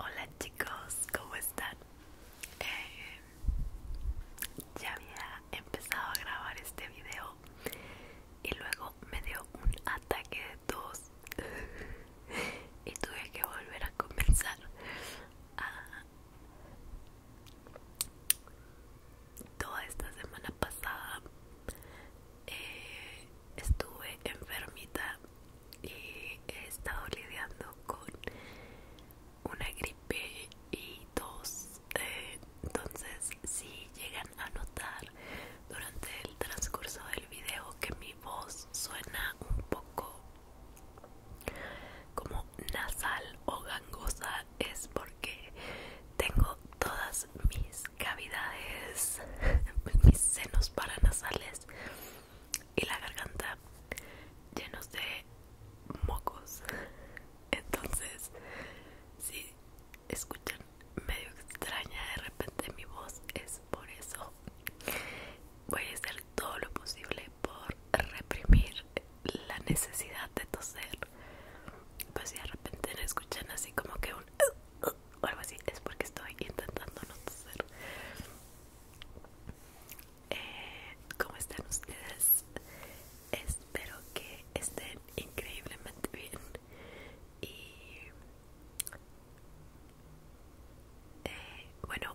Hola chicos, ¿cómo están? Eh, ya había empezado a grabar este video y luego me dio un ataque de tos y tuve que volver a comenzar toda esta semana pasada eh, estuve enfermita y he estado lidiando con una gripe y tos eh, entonces si llegan a notar durante el transcurso del video que mi voz suena un poco como nasal o gangosa es porque tengo todas mis cavidades, mis senos paranasales y la garganta llenos de mocos. Entonces, si escuchan medio extraña de repente mi voz es por eso voy a hacer todo lo posible por reprimir la necesidad de toser pues si de repente me escuchan así como que un uh, uh, o algo así es porque estoy intentando no toser eh, ¿Cómo están ustedes? Espero que estén increíblemente bien y eh, bueno,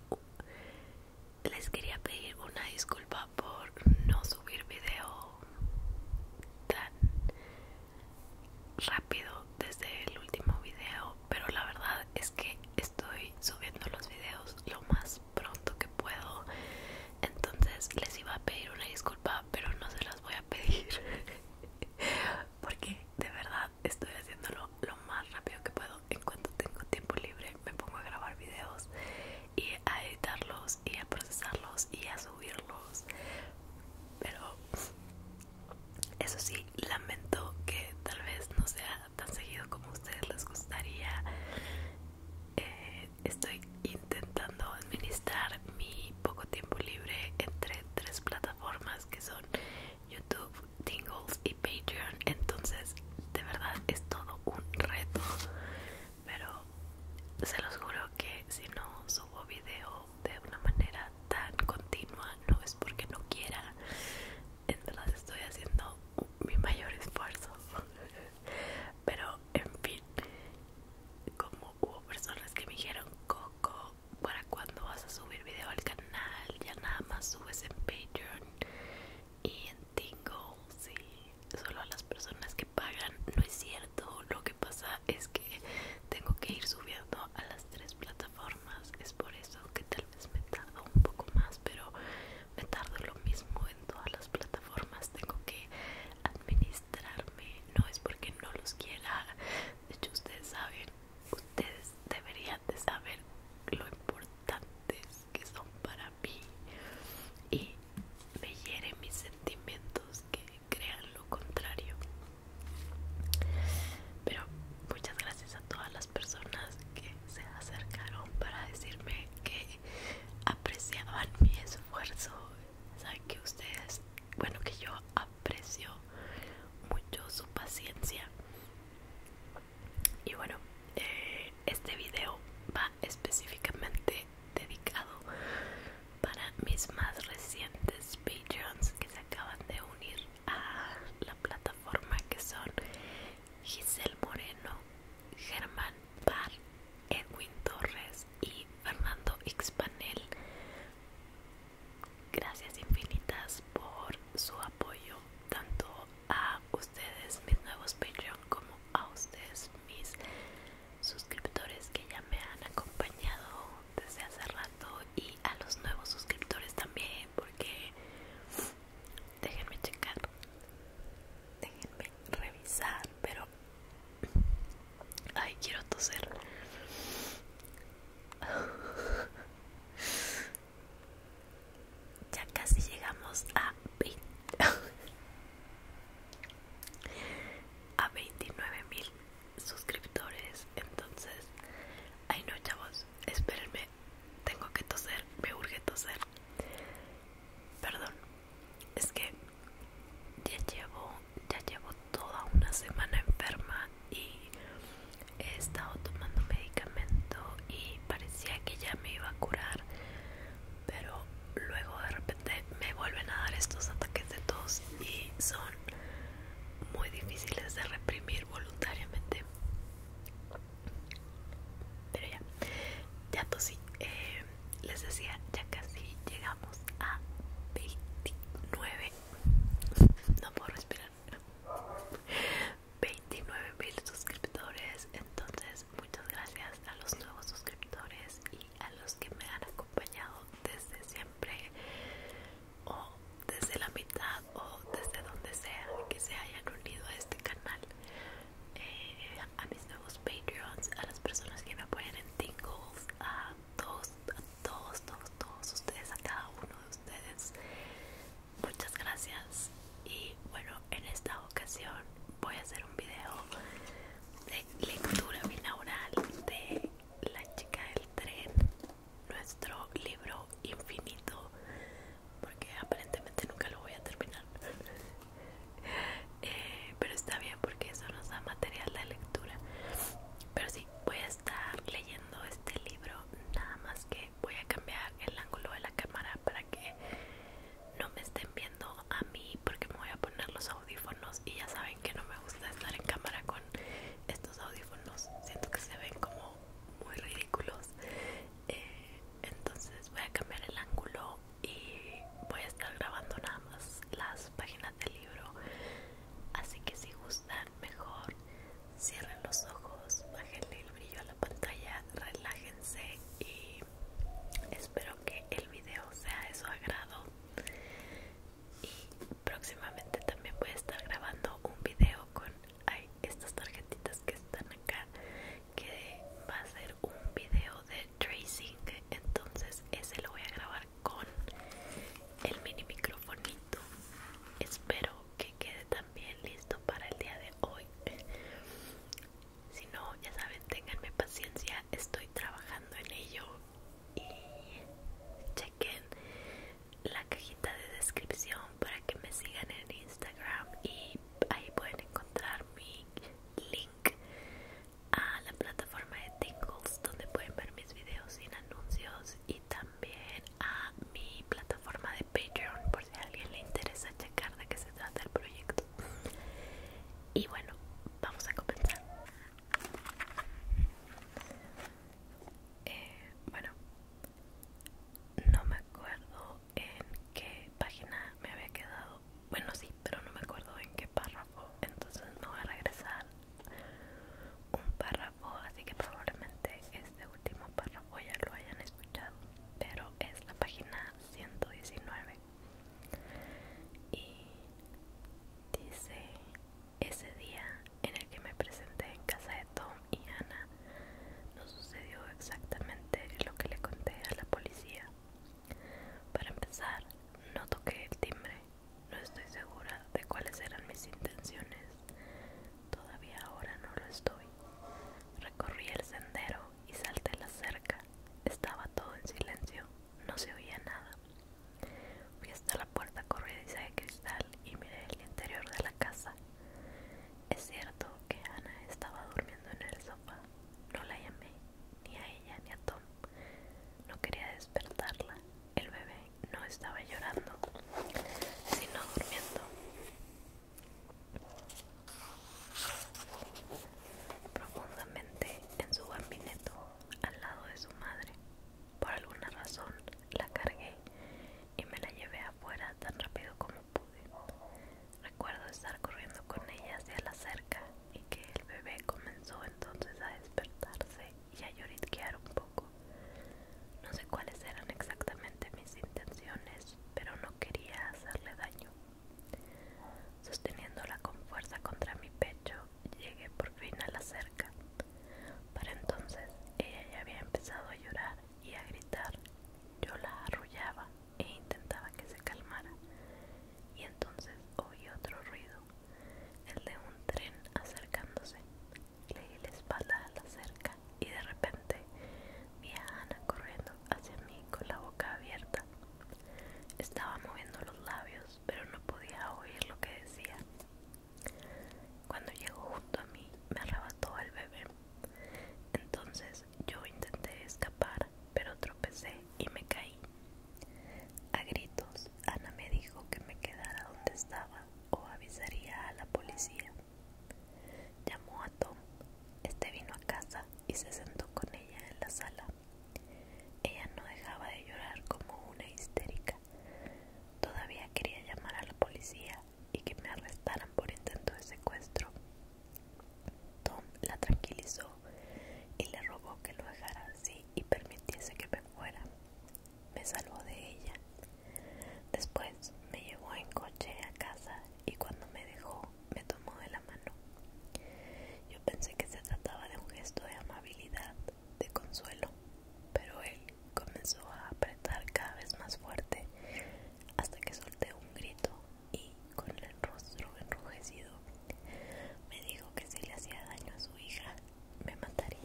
les quería pedir una disculpa por no subir video tan rápido desde el último video, pero la verdad es que estoy subiendo los videos lo más pronto que puedo. Entonces les iba a pedir una disculpa, pero no se las voy a pedir. Porque de verdad estoy haciéndolo lo más rápido que puedo en cuanto tengo tiempo libre me pongo a grabar videos y a editarlos y a procesarlos y a subirlos pero eso sí lamento que tal vez no sea tan seguido como a ustedes les gustaría eh, estoy intentando administrar mi poco tiempo libre entre tres plataformas formas que son YouTube, Tingles y Patreon. Entonces, de verdad es todo un reto. Pero se los juro que si no subo video de una manera tan continua, no es porque no quiera. entonces estoy haciendo mi mayor esfuerzo. Pero en fin, como hubo personas que me dijeron Coco, para cuando vas a subir video al canal, ya nada más subes en Patreon y en tingle sí, solo a las personas que pagan, no es cierto, lo que pasa es que tengo que ir subiendo a las tres plataformas, es por eso que tal vez me tardo un poco más, pero me tardo lo mismo en todas las plataformas, tengo que administrarme, no es porque no los quiera, de hecho ustedes saben ustedes deberían de saber lo importantes que son para mí y me hieren mis sentimientos que crean lo contrario pero muchas gracias a todas las personas que se acercaron para decirme que apreciaban mi esfuerzo saben que ustedes bueno que yo aprecio mucho su paciencia y bueno eh, este video va específicamente dedicado para mis más recientes Patreons que se acaban de unir a la plataforma que son Giselle Moreno, Germán Barr Edwin Torres y Fernando Xpanel. Gracias infinitas por su apoyo tanto a ustedes mis nuevos Patreon como a ustedes mis suscriptores que ya me han acompañado desde hace rato y a los nuevos suscriptores también porque déjenme checar déjenme revisar pero ay quiero toser ya casi llegamos a 20 a mil suscriptores entonces ay no chavos espérenme tengo que toser me urge toser perdón es que ya llevo ya llevo toda una semana enferma y he estado tomando medicamento y parecía que ya me iba a curar pero luego de repente me vuelven a dar estos ataques de tos y son muy difíciles de reprimir voluntariamente pero ya ya tosí eh, les decía ya casi llegamos a 29 no puedo respirar 29.000 mil suscriptores entonces muchas gracias a los nuevos suscriptores y a los que me han acompañado desde siempre o desde la mitad o desde donde sea que se hayan unido a este canal eh, a mis nuevos patreons a las personas que me apoyan en tingles a todos todos, todos, todos ustedes, a cada uno de ustedes. Muchas gracias. Y bueno, en esta ocasión voy a hacer un video de lectura binaural de La chica del tren, nuestro libro infinito, porque aparentemente nunca lo voy a terminar. Eh, pero está bien porque eso nos da material de lectura. Pero sí, voy a estar leyendo este libro nada más que voy a cambiar el ángulo de la cámara para que no me estén viendo a mí porque me voy a poner los audífonos y ya saben que no me gusta estar en cámara con estos audífonos siento que se ven como muy ridículos eh, entonces voy a cambiar el ángulo y voy a estar grabando nada más las páginas del libro así que si gustan mejor Cierren los ojos, bájenle el brillo a la pantalla, relájense y espero que el video sea de su agrado. Y próximamente también voy a estar grabando un video con estas tarjetitas que están acá, que va a ser un video de tracing, entonces ese lo voy a grabar con el mini micrófono espero que quede también listo para el día de hoy si no ya saben tenganme paciencia estoy trabajando en ello y chequen la cajita de descripción para que me sigan en Instagram y ahí pueden encontrar mi link a la plataforma de Tingles donde pueden ver mis videos sin anuncios y también a mi plataforma de Patreon por si a alguien le interesa checar de qué se trata el proyecto. Y bueno, vamos a comenzar. Eh, bueno, no me acuerdo en qué página me había quedado. Bueno, sí, pero no me acuerdo en qué párrafo. Entonces me voy a regresar un párrafo, así que probablemente este último párrafo ya lo hayan escuchado, pero es la página 119 y dice ese día en el que me presenté en casa de Tom y Ana no sucedió exactamente lo que le conté a la policía. Para empezar, no toqué el timbre no estoy segura de cuáles eran mis intenciones. Todavía ahora no lo estoy. Recorrí el sendero y salté la cerca. Estaba todo en silencio. No se oía nada. Fui hasta la puerta corrediza de cristal y miré el interior de la casa. Es cierto que Ana estaba durmiendo en el sofá. No la llamé, ni a ella ni a Tom. No quería despertarla. El bebé no estaba llorando, sino durmiendo. Profundamente en su gabineto, al lado de su madre. Por alguna razón la cargué y me la llevé afuera tan rápido como pude. Recuerdo estar corriendo con ella hacia la cerca y que el bebé comenzó entonces a despertarse y a lloriquear un poco. No sé cuáles eran exactamente mis intenciones, pero no quería hacerle daño. Sosteniéndola con fuerza contra mi pecho, llegué por fin a la cerca. Para entonces ella ya había empezado a llorar y a gritar. Yo la arrullaba e intentaba que se calmara. Y entonces oí otro ruido, el de un tren acercándose. Leí la espalda a la cerca y de repente vi a Ana corriendo hacia mí con la boca abierta. Estaba moviendo los labios, pero no podía oír lo que decía. Cuando llegó justo a mí, me arrebató el bebé. Entonces yo intenté escapar, pero tropecé y me caí. A gritos, Ana me dijo que me quedara donde estaba o avisaría a la policía. Llamó a Tom, este vino a casa y se sentó con ella en la sala. Ella no dejaba de llorar como una histérica. Todavía quería llamar a la policía y que me arrestaran por intento de secuestro. Tom la tranquilizó y le rogó que lo dejara así y permitiese que me fuera me salvó de ella. Después me llevó en coche a casa y cuando me dejó me tomó de la mano. Yo pensé que se trataba de un gesto de amabilidad, de consuelo, pero él comenzó a apretar cada vez más fuerte hasta que solté un grito y, con el rostro enrojecido, me dijo que si le hacía daño a su hija, me mataría.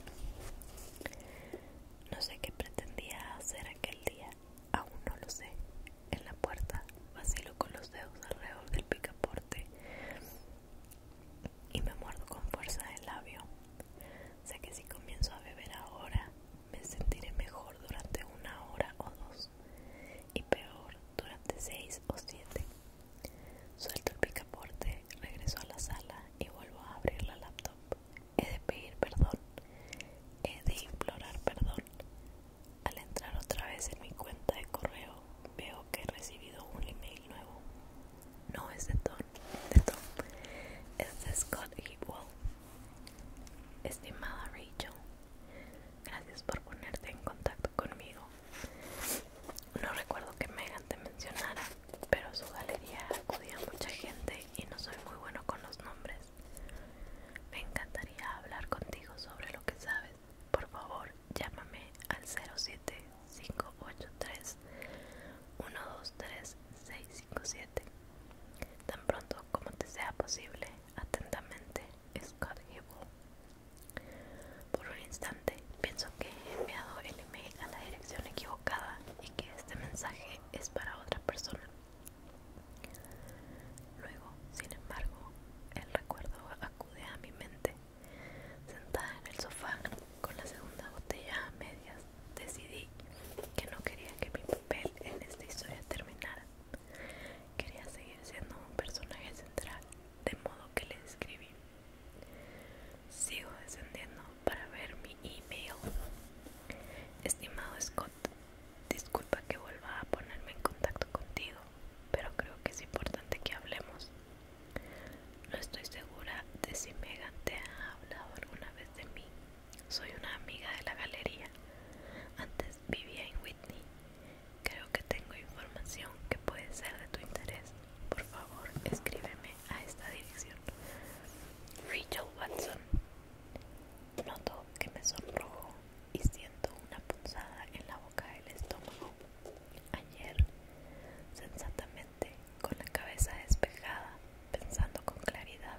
No sé qué pretendía hacer aquel día, aún no lo sé. En la puerta vacilo con los dedos alrededor del picaporte y me muerdo con fuerza el labio. Sé que si comienzo a beber ahora, me sentiré mejor durante una hora o dos y peor durante seis o siete. Suelto el picaporte regreso a la sala y vuelvo a abrir la laptop. He de pedir perdón, he de implorar perdón. Al entrar otra vez en mi cuenta de correo, veo que he recibido un email nuevo. No es de Tom, de Tom. es de Scott Hewell. Estimada Rachel, gracias por ponerte en contacto conmigo. No recuerdo que Megan te mencionara, pero su galería acudía a mucha gente y no soy muy bueno con los nombres. Me encantaría hablar contigo sobre lo que sabes. Por favor, llámame al 07583 123657. Tan pronto como te sea posible, atentamente, Scott Por un instante, pienso que he enviado el email a la dirección equivocada y que este mensaje es para otra persona. Luego, sin embargo, el recuerdo acude a mi mente. Sentada en el sofá con la segunda botella a medias, decidí que no quería que mi papel en esta historia terminara. Quería seguir siendo un personaje central, de modo que le escribí. Sigo descendiendo para ver mi email. Estimado Scott, disculpa que vuelva a ponerme en contacto contigo, pero creo que es importante que hablemos. No estoy segura de si Megan te ha hablado alguna vez de mí. Soy una amiga de la galería. Antes vivía en Whitney. Creo que tengo información que puede ser de tu interés. Por favor, escríbeme a esta dirección. Rachel Watson noto que me sonrojo y siento una punzada en la boca del estómago. Ayer, sensatamente, con la cabeza despejada, pensando con claridad,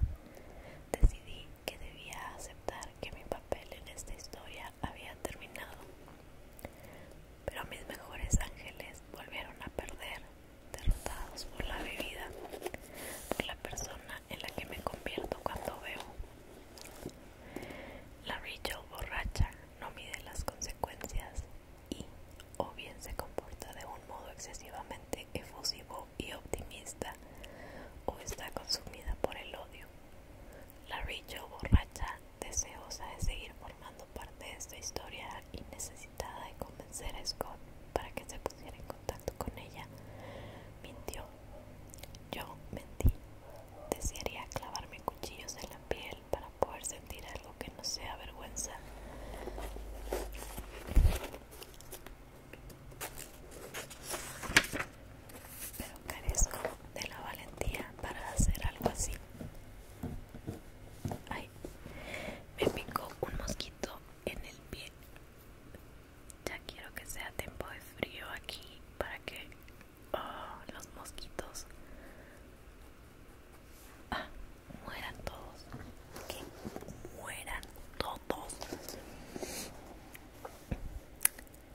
decidí que debía aceptar que mi papel en esta historia había terminado. Pero mis mejores ángeles volvieron a perder derrotados por la bebida, por la persona en la que me convierto cuando veo La Rachel borracha no mide las consecuencias y o bien se comporta de un modo excesivamente efusivo y optimista o está consumida por el odio. La Rachel borracha deseosa de seguir formando parte de esta historia y necesitada de convencer a Scott para que se pusiera en contacto con ella, mintió. Yo mentí. Desearía clavarme cuchillos en la piel para poder sentir algo que no sea vergüenza. Pero carezco de la valentía para hacer algo así. Ay, me picó un mosquito en el pie. Ya quiero que sea tiempo de frío aquí para que oh, los mosquitos ah, mueran todos. Que mueran todos.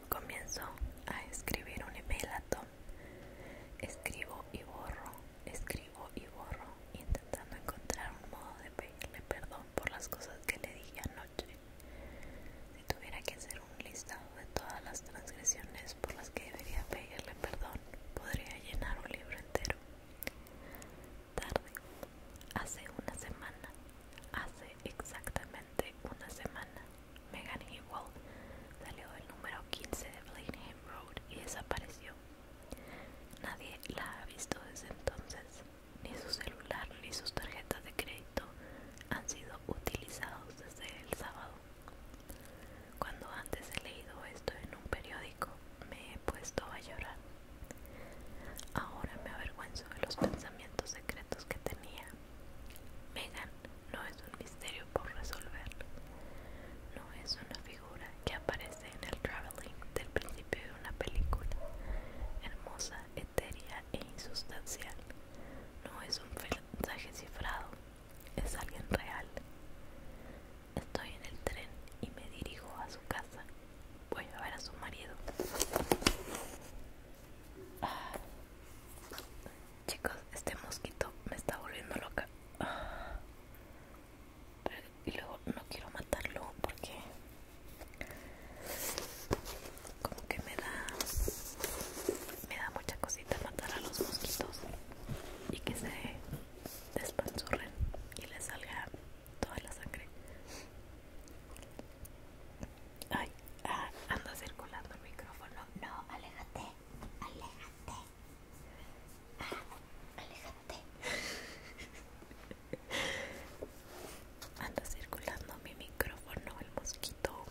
Comienzo a escribir un email Escribo y borro. Escribo y borro, intentando encontrar un modo de pedirle perdón por las cosas que le dije anoche. Si tuviera que hacer un listado de todas las transgresiones por las que debería pedirle perdón, podría llenar un libro entero. Tarde, hace una semana, hace exactamente una semana, Megan salió del número 15 de Blainham Road y desapareció. Nadie la ha visto desde entonces, ni su celular ni sus tarjetas de crédito han sido utilizados desde el sábado. Cuando antes he leído esto en un periódico, me he puesto a llorar. Ahora me avergüenzo de los pensamientos secretos que tenía. Megan no es un misterio por resolver, no es una figura que aparece en el traveling del principio de una película, hermosa, etérea e insustancial. No es un mensaje cifrado, es alguien real. Estoy en el tren y me dirijo a su casa. Voy a ver a su marido. Ah, chicos, este mosquito me está volviendo loca. Ah y luego no quiero matarlo porque como que me da me da mucha cosita matar a los mosquitos y que se despanzurren y le salga toda la sangre ay ah, anda circulando el micrófono no aléjate aléjate ah, anda circulando mi micrófono el mosquito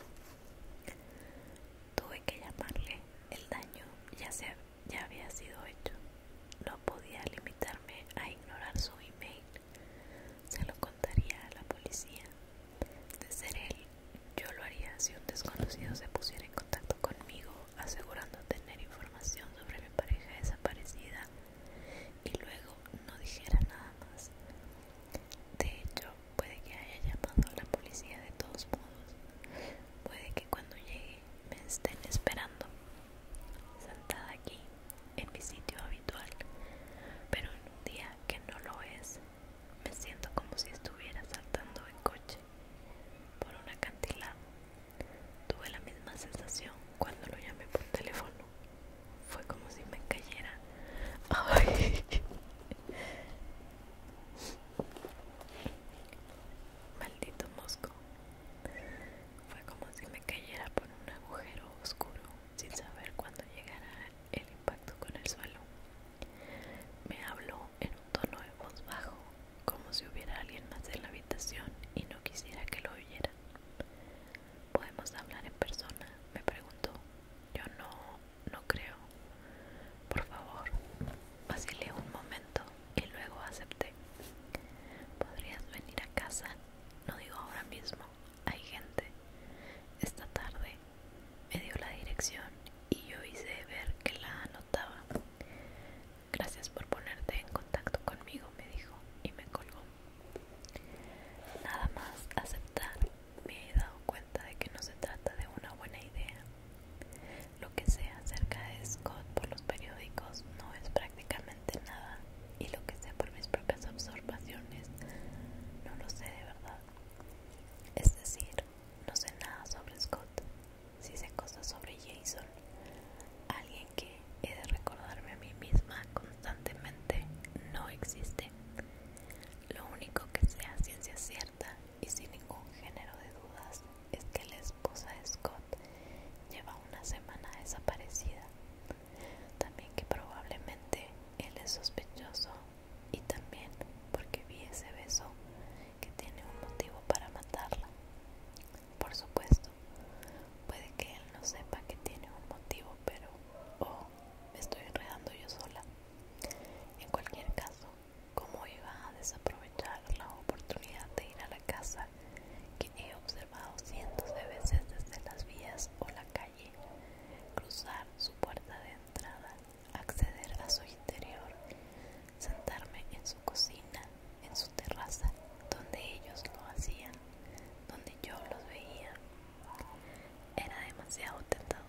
tuve que llamarle el daño ya ya había sido hecho no podía limitarme a ignorar su email se lo contaría a la policía de ser él yo lo haría si un desconocido se pusiera en contacto conmigo asegurando tener información sobre mi pareja desaparecida y luego no dijera nada más. De hecho, puede que haya llamado a la policía de todos modos. Puede que cuando llegue me estén esperando, sentada aquí, en mi sitio habitual. Pero en un día que no lo es, me siento como si estuviera saltando en coche por un acantilado Tuve la misma sensación cuando lo llamé por teléfono. Fue como si me cayera. Ay. Maldito mosco. Fue como si me cayera por un agujero oscuro sin saber cuándo llegara el impacto con el suelo. Me habló en un tono de voz bajo como si hubiera alguien más en la habitación y no quisiera que lo oyeran. ¿Podemos hablar en persona? me preguntó. Yo no, no creo. Por favor, vacilé un momento y luego acepté. ¿Podrías venir a casa? No digo ahora mismo, hay gente. Esta tarde me dio la dirección y yo hice ver que la anotaba. Gracias por ponerte en contacto conmigo, me dijo y me colgó. Nada más aceptar, me he dado cuenta de que no se trata de una buena idea. Lo que sé acerca de Scott por los periódicos no es prácticamente nada y lo que sé por mis propias observaciones no lo sé de verdad. Es decir, no sé nada sobre Scott, si se cosas sobre Jason, alguien que he de recordarme a mí misma constantemente no existe. Lo único que sea ciencia cierta y sin ningún género de dudas es que la esposa de Scott lleva una semana desaparecida. También que probablemente él es sospechoso y también porque vi ese beso que tiene un motivo para matarla por supuesto. Puede que él no sepa que tiene un motivo, pero o oh, me estoy enredando yo sola. En cualquier caso, ¿cómo iba a desaprovechar la oportunidad de ir a la casa que he observado cientos de veces desde las vías o la calle, cruzar su puerta de entrada, acceder a su interior, sentarme en su cocina, en su terraza, donde ellos lo hacían, donde yo los veía. Era demasiado tentador.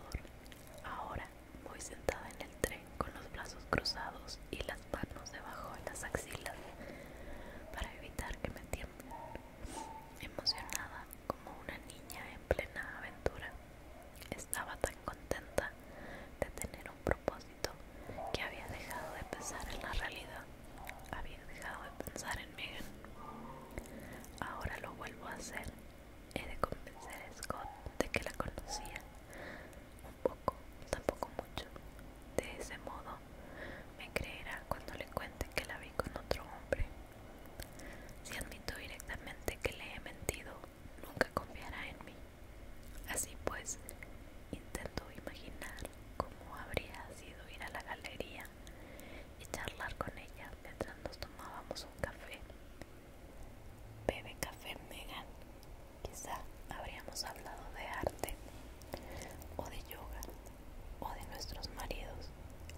Ahora voy sentada en el tren con los brazos cruzados y las manos debajo de las axilas para evitar que me tiemblen. Emocionada como una niña en plena aventura, estaba tan contenta de tener un propósito que había dejado de pensar en la realidad, había dejado de pensar en Megan. Ahora lo vuelvo a hacer. He de convencer a Scott de que la conocía. Un poco, tampoco mucho. De ese modo, me creerá cuando le cuente que la vi con otro hombre. Si admito directamente que le he mentido, nunca confiará en mí. Así pues, intento imaginar cómo habría sido ir a la galería y charlar con ella mientras nos tomábamos un café. Bebe café, Megan. Quizá habríamos hablado de arte, o de yoga, o de nuestros maridos.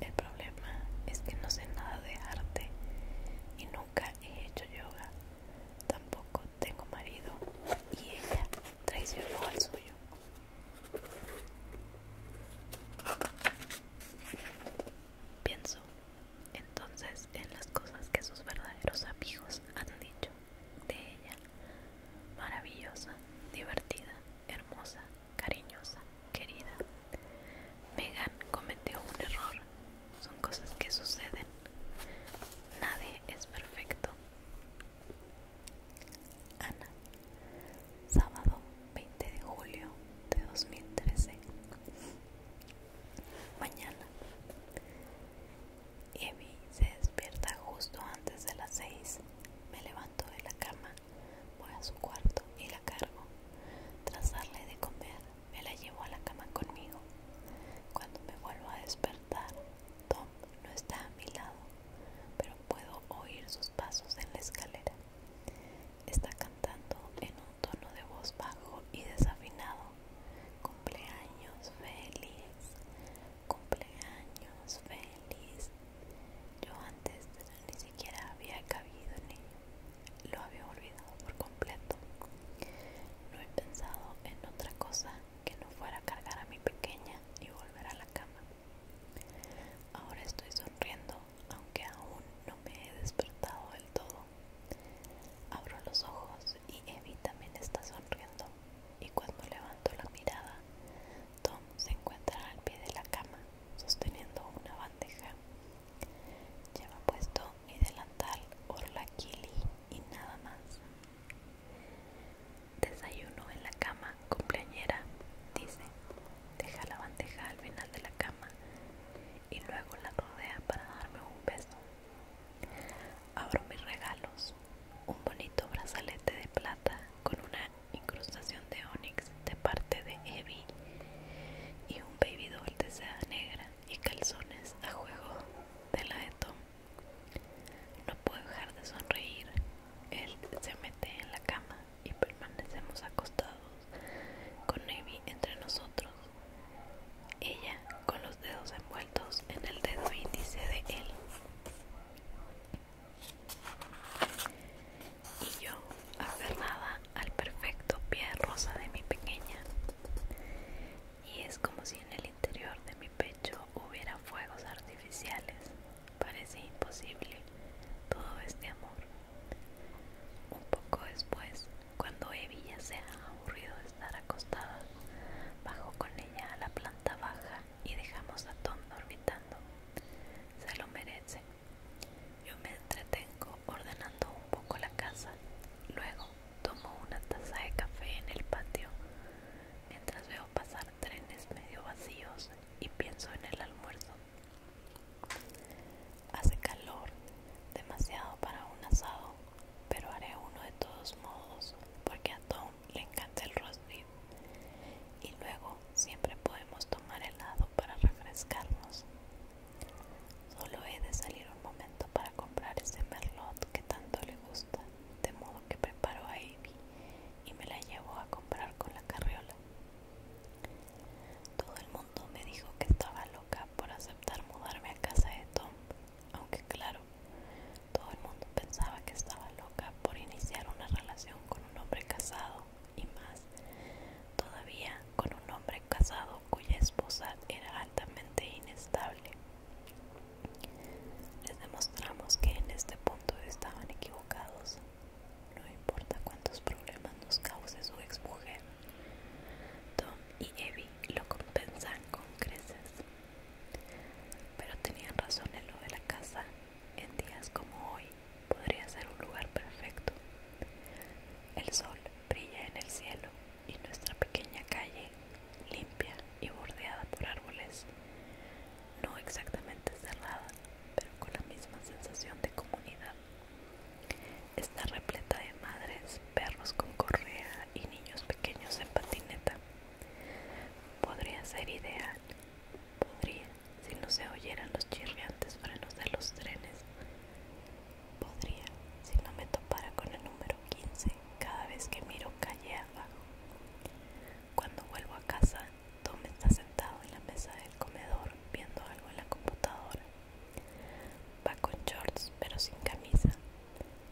El problema es que no sé nada de arte y nunca he hecho yoga. Tampoco tengo marido y ella traicionó al suyo. Pienso entonces en las cosas que sus verdaderos amigos han dicho de ella. Maravillosa, divertida, hermosa, cariñosa, querida. Megan cometió un error. Son cosas que suceden. Nadie es perfecto. Ana, sábado 20 de julio de 2013. Mañana. Evi se despierta justo antes de las 6. Me levanto de la cama, voy a su cuarto y la cargo. Tras darle de comer, me la llevo a la cama conmigo. Cuando me vuelvo a despertar, Tom no está a mi lado, pero puedo oír sus pasos en la escalera. Está cantando en un tono de voz bajo y desafinado. Cumpleaños feliz, cumpleaños feliz. Yo antes ni siquiera había cabido en ello. Lo había olvidado por completo. No he pensado en otra cosa que no fuera a cargar a mi pequeña y volver a la cama. Ahora estoy sonriendo, aunque aún no me he despertado del todo. Abro los ojos y Evi también está sonriendo. Y cuando levanto la mirada, Tom se encuentra al pie de la cama, sosteniendo una bandeja. Lleva puesto mi delantal, por la kili y nada más. Desayuno en la cama, cumpleañera, dice. Deja la bandeja al final de la cama y luego la rodea para darme un beso. Abro mis regalos, un bonito brazalete de plata con una incrustación de onyx de parte de Evie y un baby doll de seda negra y calzones a juego de la de Tom. No puedo dejar de sonreír. Él se mete en la cama y permanecemos acostados, con Amy entre nosotros. Ella con los dedos envueltos en el dedo índice de él. Y yo aferrada al perfecto pie rosa de mi pequeña. Y es como si en el interior de mi pecho hubiera fuegos artificiales. Parece imposible todo este amor. Un poco después, cuando Evie ya se ha aburrido de estar acostada, bajo con ella a la planta baja y dejamos a Tom dormitando. Se lo merece. Yo me entretengo ordenando un poco la casa. Luego tomo una taza de café en el patio mientras veo pasar trenes medio vacíos y pienso en el almuerzo. Hace calor, demasiado para un asado, pero haré uno de todos modos porque a Tom le encanta el roast beef. Y luego siempre podemos tomar helado para refrescarnos. Solo he de salir un momento para comprar ese merlot que tanto le gusta de modo que preparó a Amy y me la llevó a comprar con la carriola. Todo el mundo me dijo que estaba loca por aceptar mudarme a casa de Tom, aunque claro, todo el mundo pensaba que estaba loca por iniciar una relación con un hombre casado y más, todavía con un hombre casado cuya esposa era altamente inestable. Les demostramos que en este punto estaban equivocados. No importa cuántos problemas nos cause su ex mujer Tom y Evie lo compensan con creces. Pero tenían razón en lo de la casa. En días como hoy podría ser un lugar perfecto. El sol brilla en el cielo y nuestra pequeña calle limpia y bordeada por árboles, no exactamente cerrada, pero con la misma sensación de comunidad. Está repleta de madres, perros con correa y niños pequeños en patineta. Podría ser ideal, podría, si no se oyeran los chirriantes frenos de los trenes. Podría, si no me topara con el número 15 cada vez que miro calle abajo. Cuando vuelvo a casa, Tom está sentado en la mesa del comedor viendo algo en la computadora. Va con shorts pero sin camisa.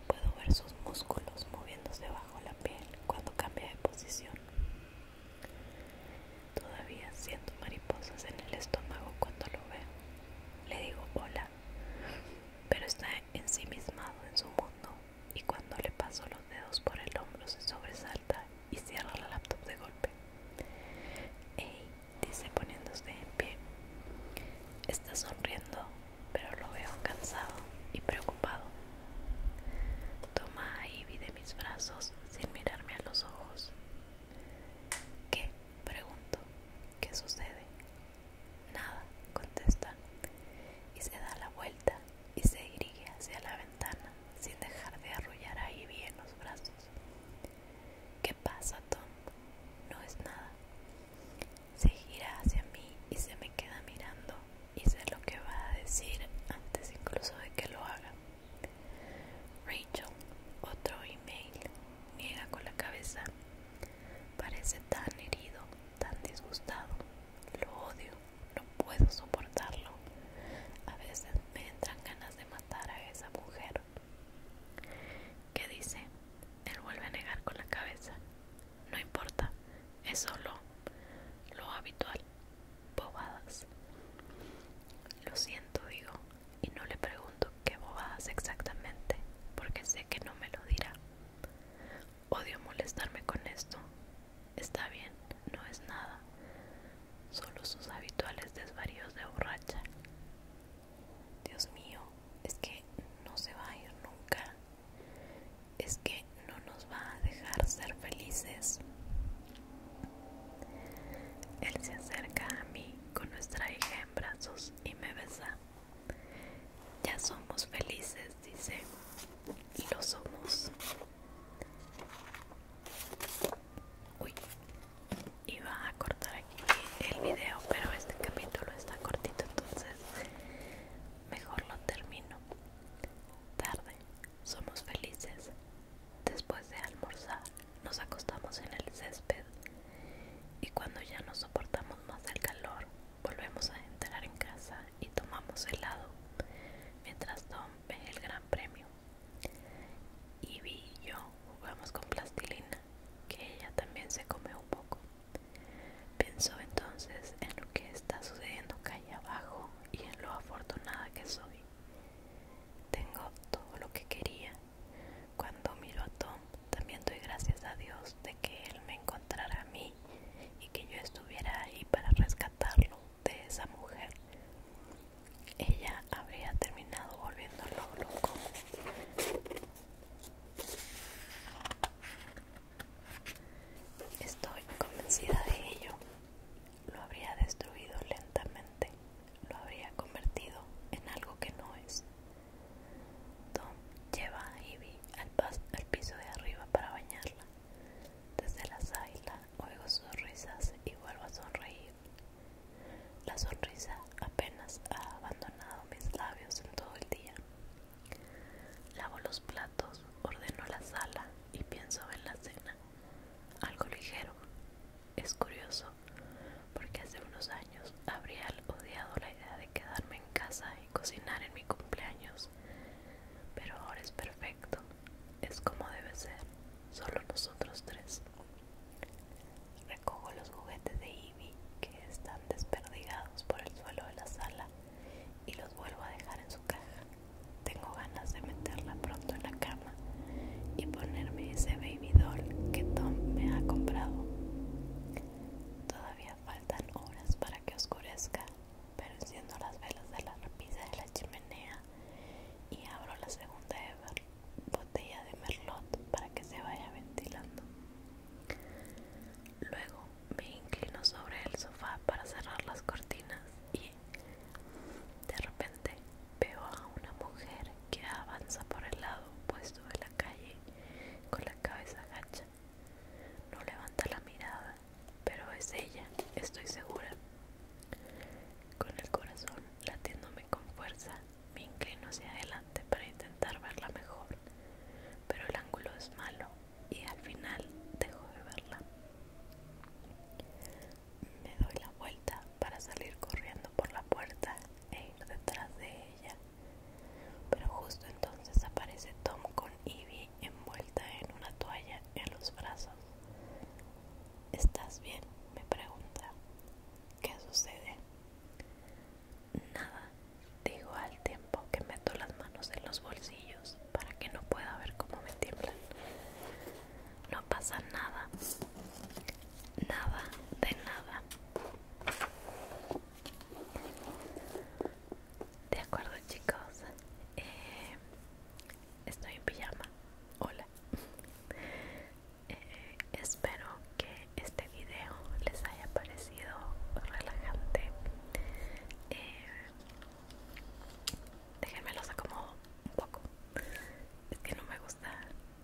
Puedo ver sus músculos moviéndose bajo la piel cuando cambia de posición. Todavía siento mariposas en el estómago cuando lo veo. Le digo hola, pero está ensimismado en su mundo y cuando le paso los dedos por el hombro se sobresalta y cierra la laptop de golpe. Ey, dice poniéndose en pie. Está sonriendo, pero lo veo cansado y preocupado. Toma ahí de mis brazos sin mirarme a los ojos. ¿Qué? Pregunto. ¿Qué sucede? Nada, contesta. Y se da la vuelta y se dirige hacia la ventana sin dejar de arrullar ahí bien los brazos. ¿Qué pasa, Tom? No es nada. Se gira hacia mí y se me queda mirando y sé lo que va a decir antes incluso de que lo haga. Rachel, otro email, niega con la cabeza. Parece tan herido, tan disgustado. Lo odio no puedo soportarlo. A veces me entran ganas de matar a esa mujer. ¿Qué dice? Él vuelve a negar con la cabeza. No importa, es solo lo habitual. Bobadas. Lo siento, digo, y no le pregunto qué bobadas exactamente, porque sé que no me lo dirá. Odio molestarme con esto, Está bien, no es nada, solo sus habituales desvaríos de borracha. Dios mío, es que no se va a ir nunca, es que no nos va a dejar ser felices. Él se acerca a mí con nuestra hija en brazos y me besa. Ya somos felices, dice. Y lo somos. Uy. Iba a cortar aquí el video, pero este capítulo está cortito, entonces mejor lo termino. Tarde. Somos felices. Después de almorzar, nos acostamos en el césped y cuando ya no soportamos más el calor, Volvemos a entrar en casa y tomamos helado mientras Tom ve el gran premio. Ivy y yo jugamos con plastilina, que ella también se come un poco. Pensó entonces en lo que está sucediendo calle abajo y en lo afortunada que soy. Tengo todo lo que quería. Cuando miro a Tom, también doy gracias a Dios de que él me encontrara a mí y que yo estuviera ahí para rescatarlo de esa mujer. Ella habría terminado volviéndolo loco. Estoy convencida de ello. Lo habría destruido lentamente. Lo habría convertido en algo que no es. Tom lleva a Ivy al piso de arriba para bañarla. Desde la sala oigo sonrisas y vuelvo a sonreír. La sonrisa apenas ha abandonado mis labios en todo el día. Lavo los platos, ordeno la sala y pienso en la cena. Algo ligero. Es curioso, porque hace unos años habría odiado la idea de quedarme en casa y cocinar en mi cumpleaños pero ahora es perfecto, es como debe ser, solo nosotros tres. Recojo los juguetes de Ivy que están desperdigados por el suelo de la sala y los vuelvo a dejar en su caja. Tengo ganas de meterla pronto en la cama y ponerme ese baby doll que Tom me ha comprado. Todavía faltan horas para que oscurezca pero enciendo las velas de la repisa de la chimenea y abro la segunda botella de merlot para que se vaya ventilando. Luego me inclino sobre el sofá para cerrar las cortinas y de repente veo a una mujer que avanza por el lado opuesto de la calle con la cabeza gacha. No levanta la mirada pero es ella, estoy segura. Con el corazón latiéndome con fuerza, me inclino hacia adelante para intentar verla mejor, pero el ángulo es malo y al final dejo de verla. Me doy la vuelta para salir corriendo por la puerta e ir detrás de ella, pero justo entonces aparece Tom con Ivy envuelta en una toalla en los brazos. ¿Estás bien? me pregunta. ¿Qué sucede? Nada, digo al tiempo que meto las manos en los bolsillos para que no pueda ver cómo me tiemblan. No pasa nada, nada de nada. De acuerdo chicos, eh, estoy en pijama. Hola. Eh, espero que este video les haya parecido relajante. Eh, déjenme los acomodo un poco. Es que no me gusta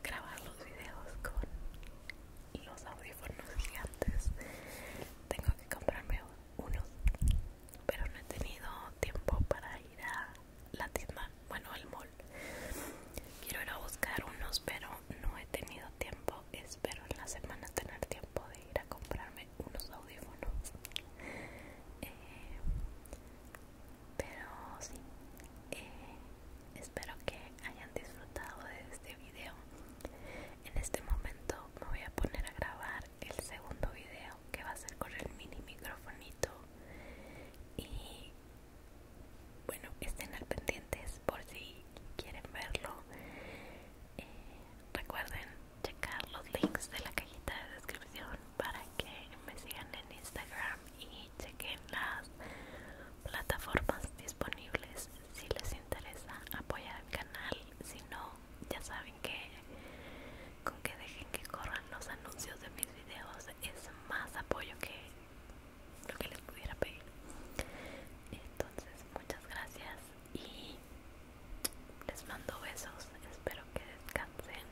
grabar los videos con los audífonos gigantes. Tengo que comprarme unos pero no he tenido tiempo para ir a la tienda, bueno al mall. Quiero ir a buscar unos, pero no he tenido tiempo. Espero en la semana tener tiempo de ir a comprarme unos audífonos. Eh, pero sí, eh, espero que hayan disfrutado de este video. En este momento me voy a poner a grabar el segundo video que va a ser con el mini microfonito y bueno estén al pendientes por si quieren verlo eh, recuerden checar los links de la cajita de descripción para que me sigan en Instagram y chequen las plataformas disponibles si les interesa apoyar el canal si no ya saben que con que dejen que corran los anuncios de mis videos es más apoyo que lo que les pudiera pedir. Entonces, muchas gracias y les mando besos. Espero que descansen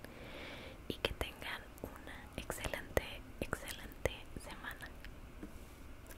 y que tengan una excelente, excelente semana. Adiós.